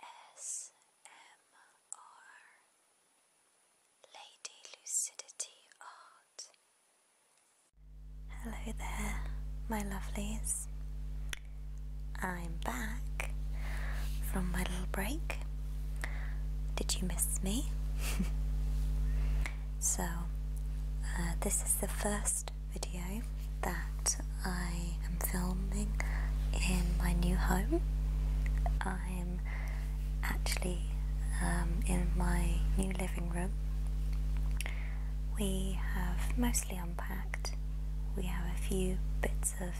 ASMR Lady Lucidity Art. Hello there, my lovelies. I'm back from my little break. Did you miss me? so, uh, this is the first video that I am filming in my new home. I'm actually um, in my new living room. We have mostly unpacked. We have a few bits of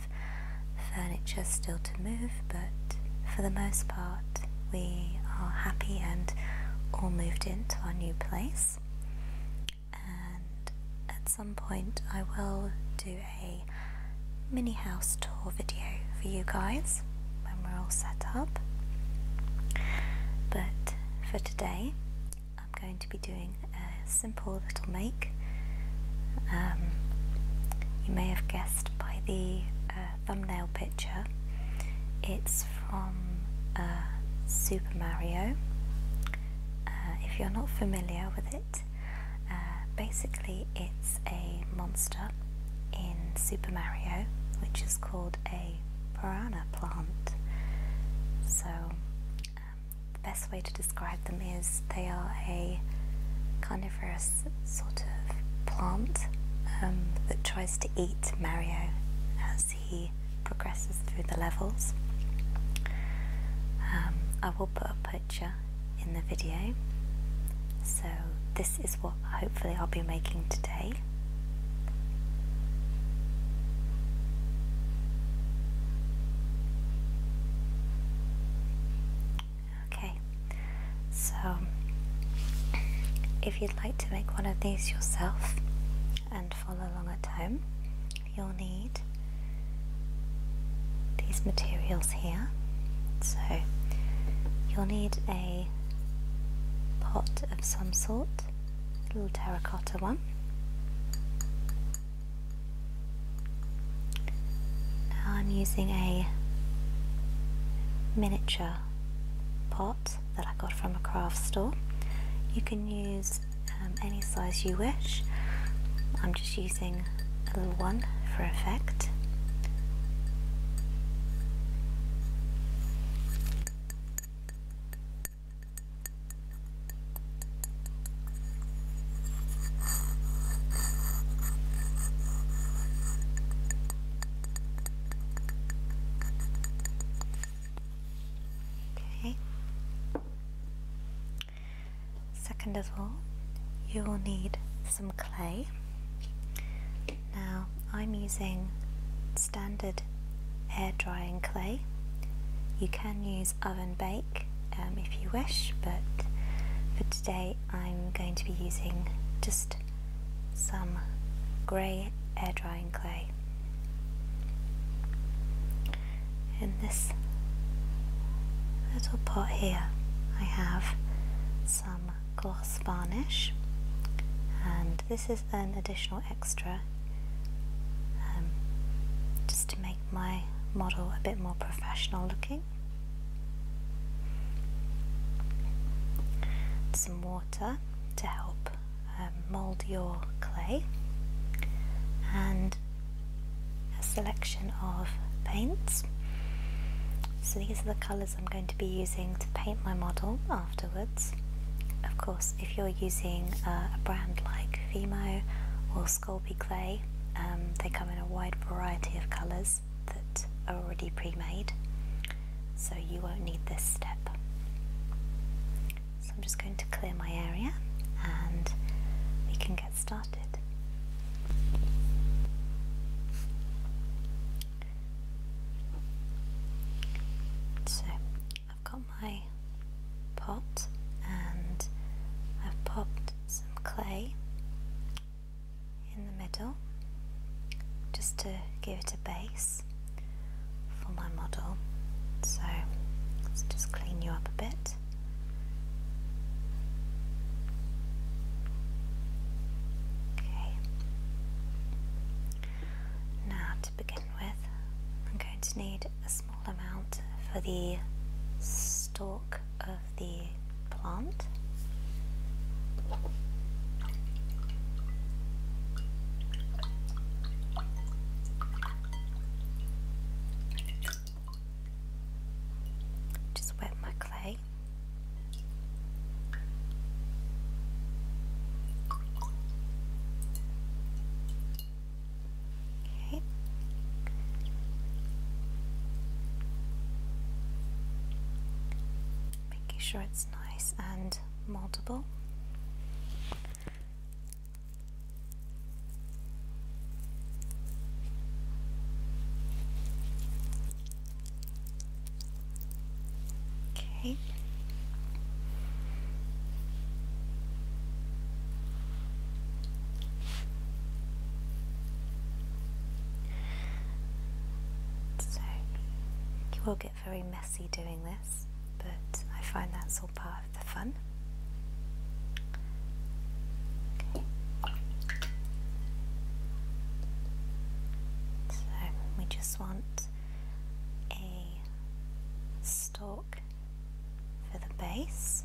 furniture still to move, but for the most part, we are happy and all moved into our new place and at some point I will do a mini house tour video for you guys when we're all set up but for today I'm going to be doing a simple little make um, you may have guessed by the uh, thumbnail picture it's from uh, Super Mario uh, if you're not familiar with it, uh, basically it's a monster in Super Mario which is called a piranha plant. So, um, the best way to describe them is they are a carnivorous sort of plant um, that tries to eat Mario as he progresses through the levels. Um, I will put a picture in the video. So, this is what hopefully I'll be making today. Okay, so if you'd like to make one of these yourself and follow along at home, you'll need these materials here. So you'll need a pot of some sort, a little terracotta one. Now I'm using a miniature pot that I got from a craft store. You can use um, any size you wish. I'm just using a little one for effect. Okay. Second of all, you will need some clay. Now, I'm using standard air drying clay. You can use oven bake um, if you wish, but for today I'm going to be using just some grey air drying clay. In this little pot here, I have some gloss varnish, and this is an additional extra um, just to make my model a bit more professional looking. Some water to help um, mold your clay, and a selection of paints. So these are the colours I'm going to be using to paint my model afterwards. Of course, if you're using uh, a brand like Fimo or Sculpey Clay, um, they come in a wide variety of colours that are already pre-made, so you won't need this step. So I'm just going to clear my area and we can get started. So I've got my pot and I've popped some clay in the middle just to give it a base for my model so let's just clean you up a bit Okay. Now, to begin with, I'm going to need a small amount for the stalk of the plant. Just wet my clay. Okay. Making sure it's nice and moldable. Okay. So you will get very messy doing this, but I find that's all part so we just want a stalk for the base.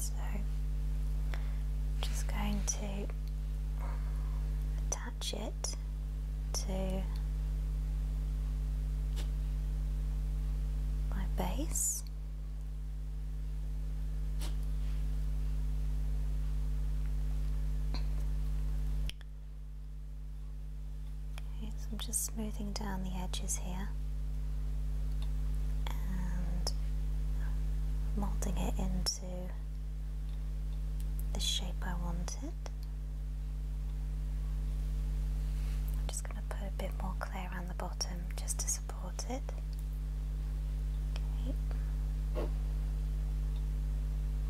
so I'm just going to attach it to my base so I'm just smoothing down the edges here and molding it into the shape I wanted. I'm just going to put a bit more clay around the bottom just to support it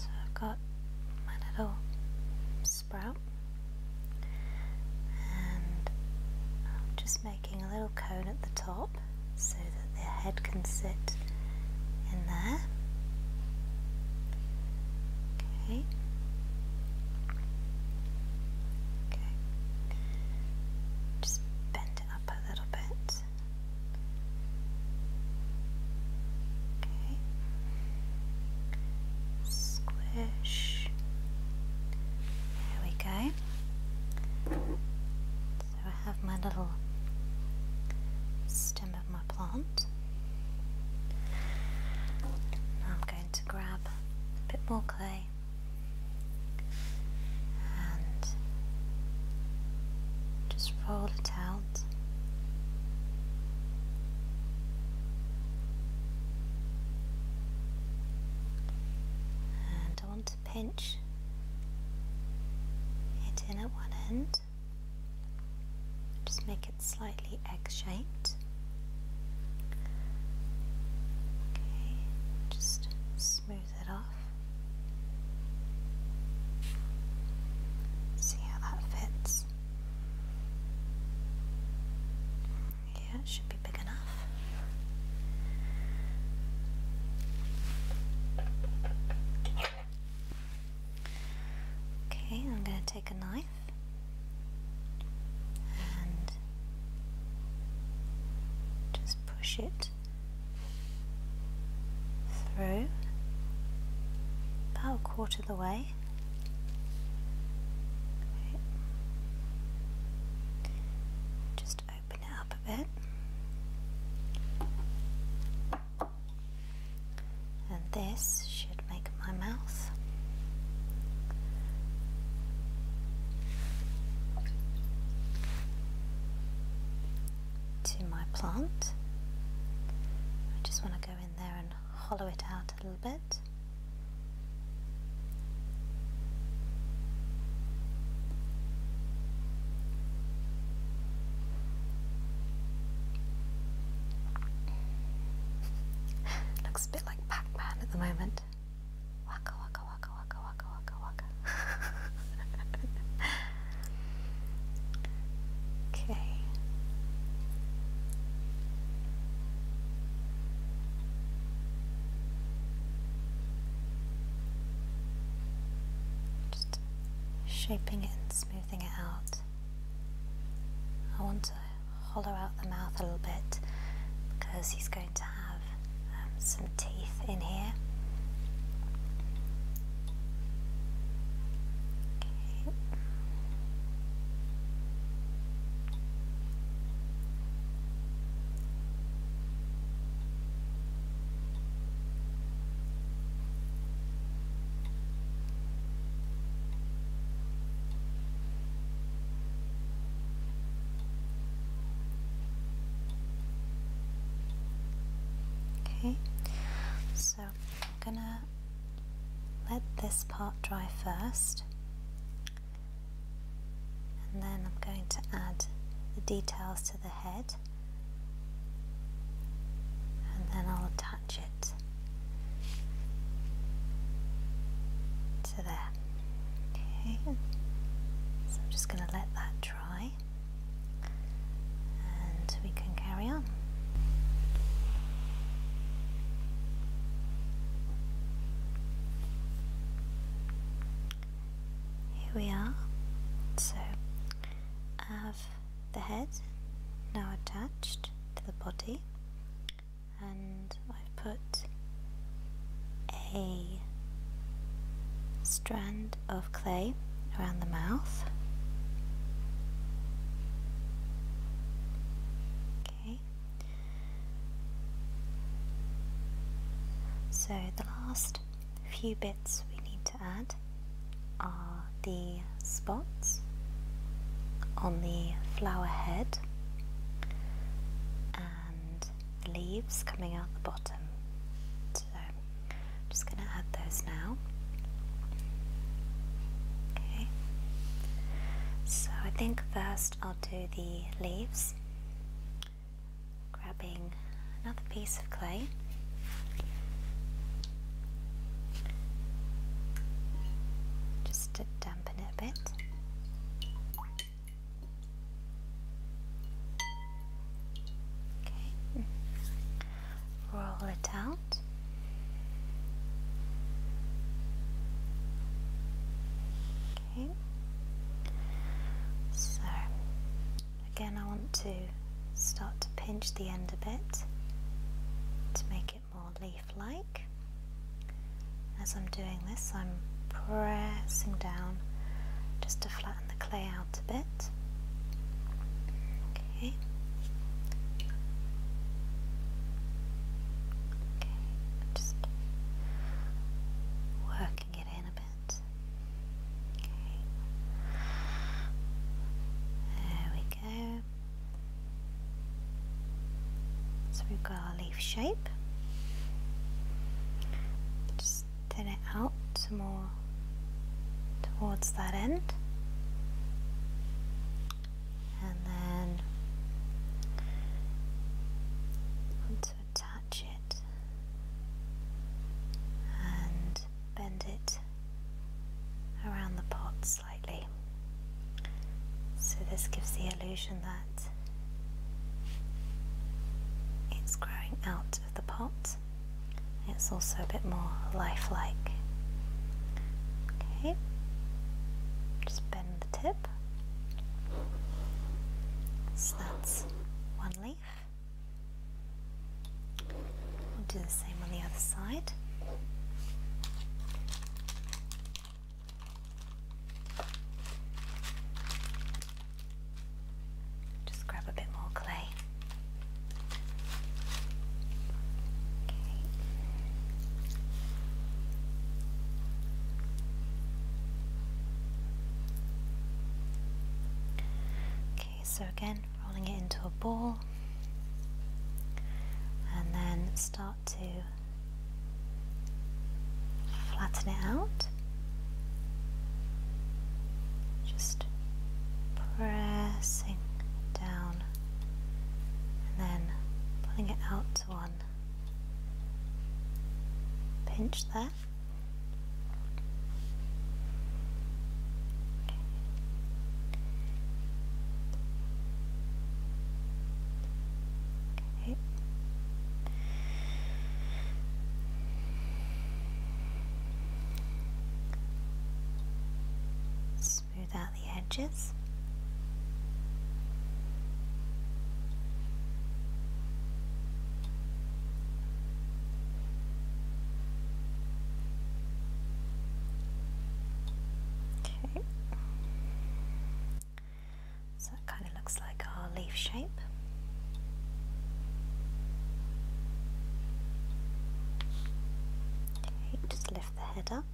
so I've got my little sprout, and I'll making a little cone at the top so that their head can sit in there. Okay. Okay. Just bend it up a little bit. Okay. Squish. There we go so I have my little stem of my plant I'm going to grab a bit more clay and just roll it out and I want to pinch it in at one end just make it slightly egg-shaped okay just smooth it off see how that fits yeah, it should be big enough. Okay, I'm going to take a knife and just push it through about a quarter of the way. Just open it up a bit. And this should make my mouth. To my plant. I just want to go in there and hollow it out a little bit. Looks a bit like Pac-Man at the moment. Waka waka waka waka waka waka waka. okay. Just shaping it and smoothing it out. I want to hollow out the mouth a little bit because he's going to have um, some teeth in here. Okay. Okay, so I'm gonna let this part dry first and then I'm going to add the details to the head and then I'll attach it to there okay so I'm just going to let that dry and we can carry on here we are so I have the head now attached to the body and I've put a strand of clay around the mouth so the last few bits we need to add are the spots on the flower head and the leaves coming out the bottom so I'm just going to add those now okay so I think first I'll do the leaves grabbing another piece of clay. Just to dampen it a bit. Okay. Roll it out. So again, I want to start to pinch the end a bit to make it more leaf-like. As I'm doing this, I'm pressing down just to flatten the clay out a bit. Okay. okay. Just work in a bit. Okay. There we go. So we've got our leaf shape. Just thin it out some more towards that end. And then to touch it and bend it around the pot slightly. So, this gives the illusion that it's growing out of the pot. It's also a bit more lifelike. Okay, just bend the tip. So that's one leaf. We'll do the same on the other side. Just grab a bit more clay. Okay, so again, rolling it into a ball and then start to flatten it out. Just pressing down and then pulling it out to one pinch there. Smooth out the edges. Okay. So that kind of looks like our leaf shape. Okay, just lift the head up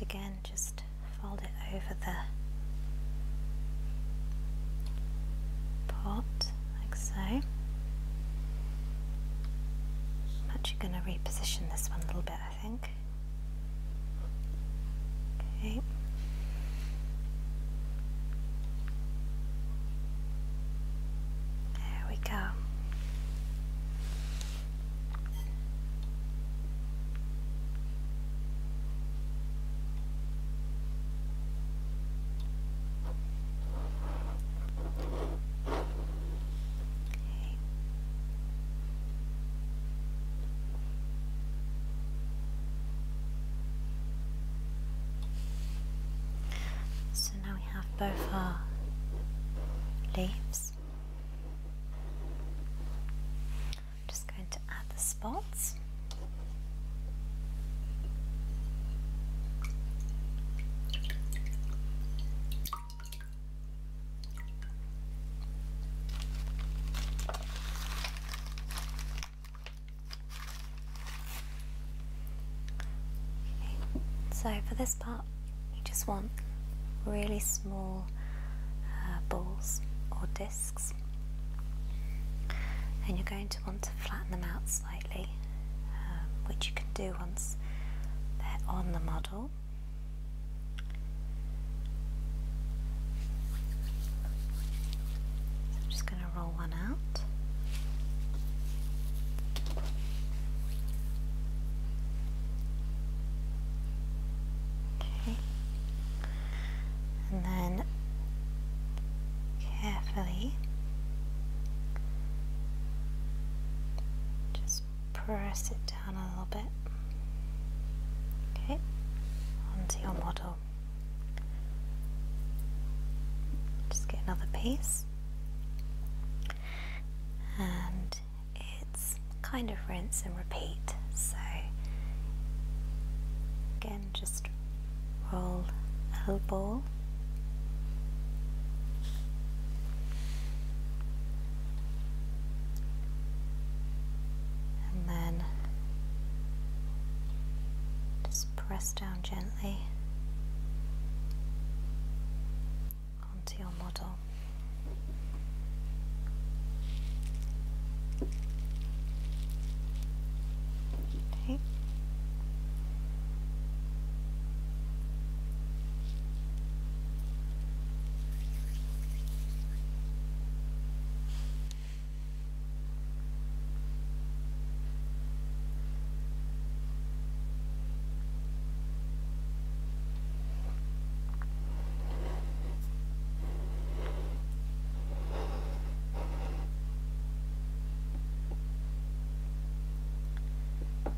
again, just fold it over the pot like so. I'm actually going to reposition this one a little bit I think. Okay. There we go. Okay. So now we have both our leaves. I'm just going to add the spots. So for this part, you just want really small uh, balls or discs, and you're going to want to flatten them out slightly, um, which you can do once they're on the model. I'm just going to roll one out. Okay. And then carefully just press it down a little bit. Okay, onto your model. Just get another piece. And it's kind of rinse and repeat. So, again, just roll a little ball and then just press down gently onto your model.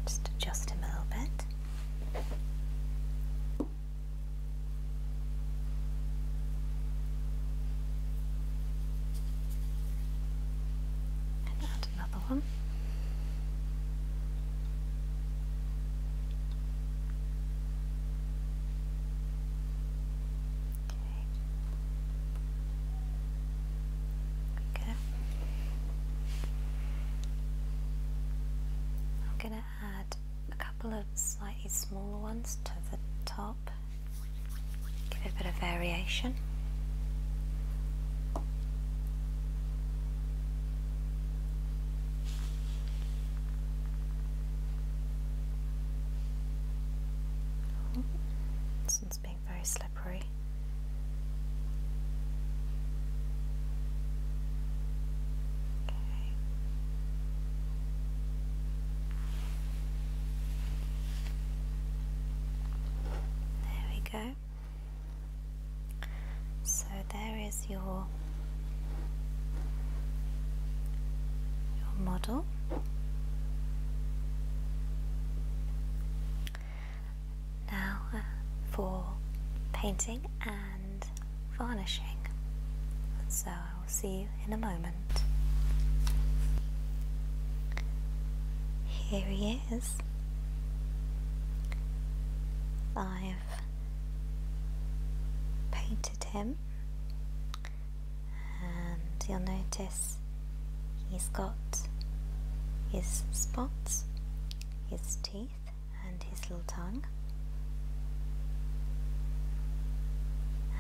Just adjust him a little bit add another one. Okay. Okay. I'm gonna add a couple of slightly smaller ones to the top, give it a bit of variation. Oh, this one's being very slippery. Okay. There we go. So there is your your model. Now uh, for painting and varnishing. So I will see you in a moment. Here he is. I've painted him and you'll notice he's got his spots, his teeth and his little tongue.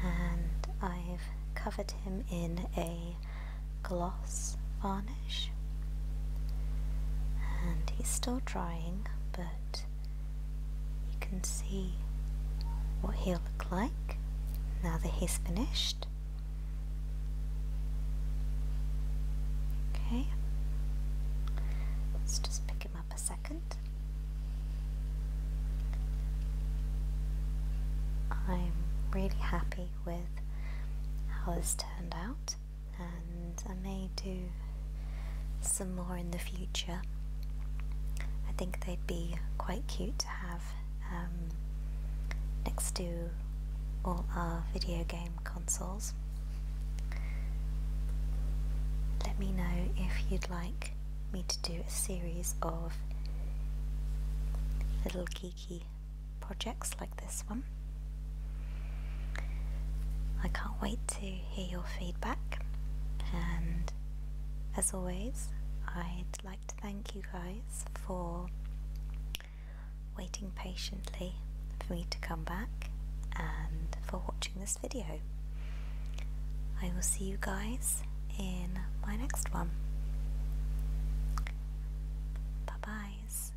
And I've covered him in a gloss varnish. And he's still drying, but you can see what he'll look like now that he's finished. Okay, let's just pick him up a second. I'm really happy with how this turned out and I may do some more in the future. I think they'd be quite cute to have um, next to all our video game consoles. Let me know if you'd like me to do a series of little geeky projects like this one. I can't wait to hear your feedback and as always I'd like to thank you guys for waiting patiently for me to come back and for watching this video. I will see you guys in my next one. Bye-byes.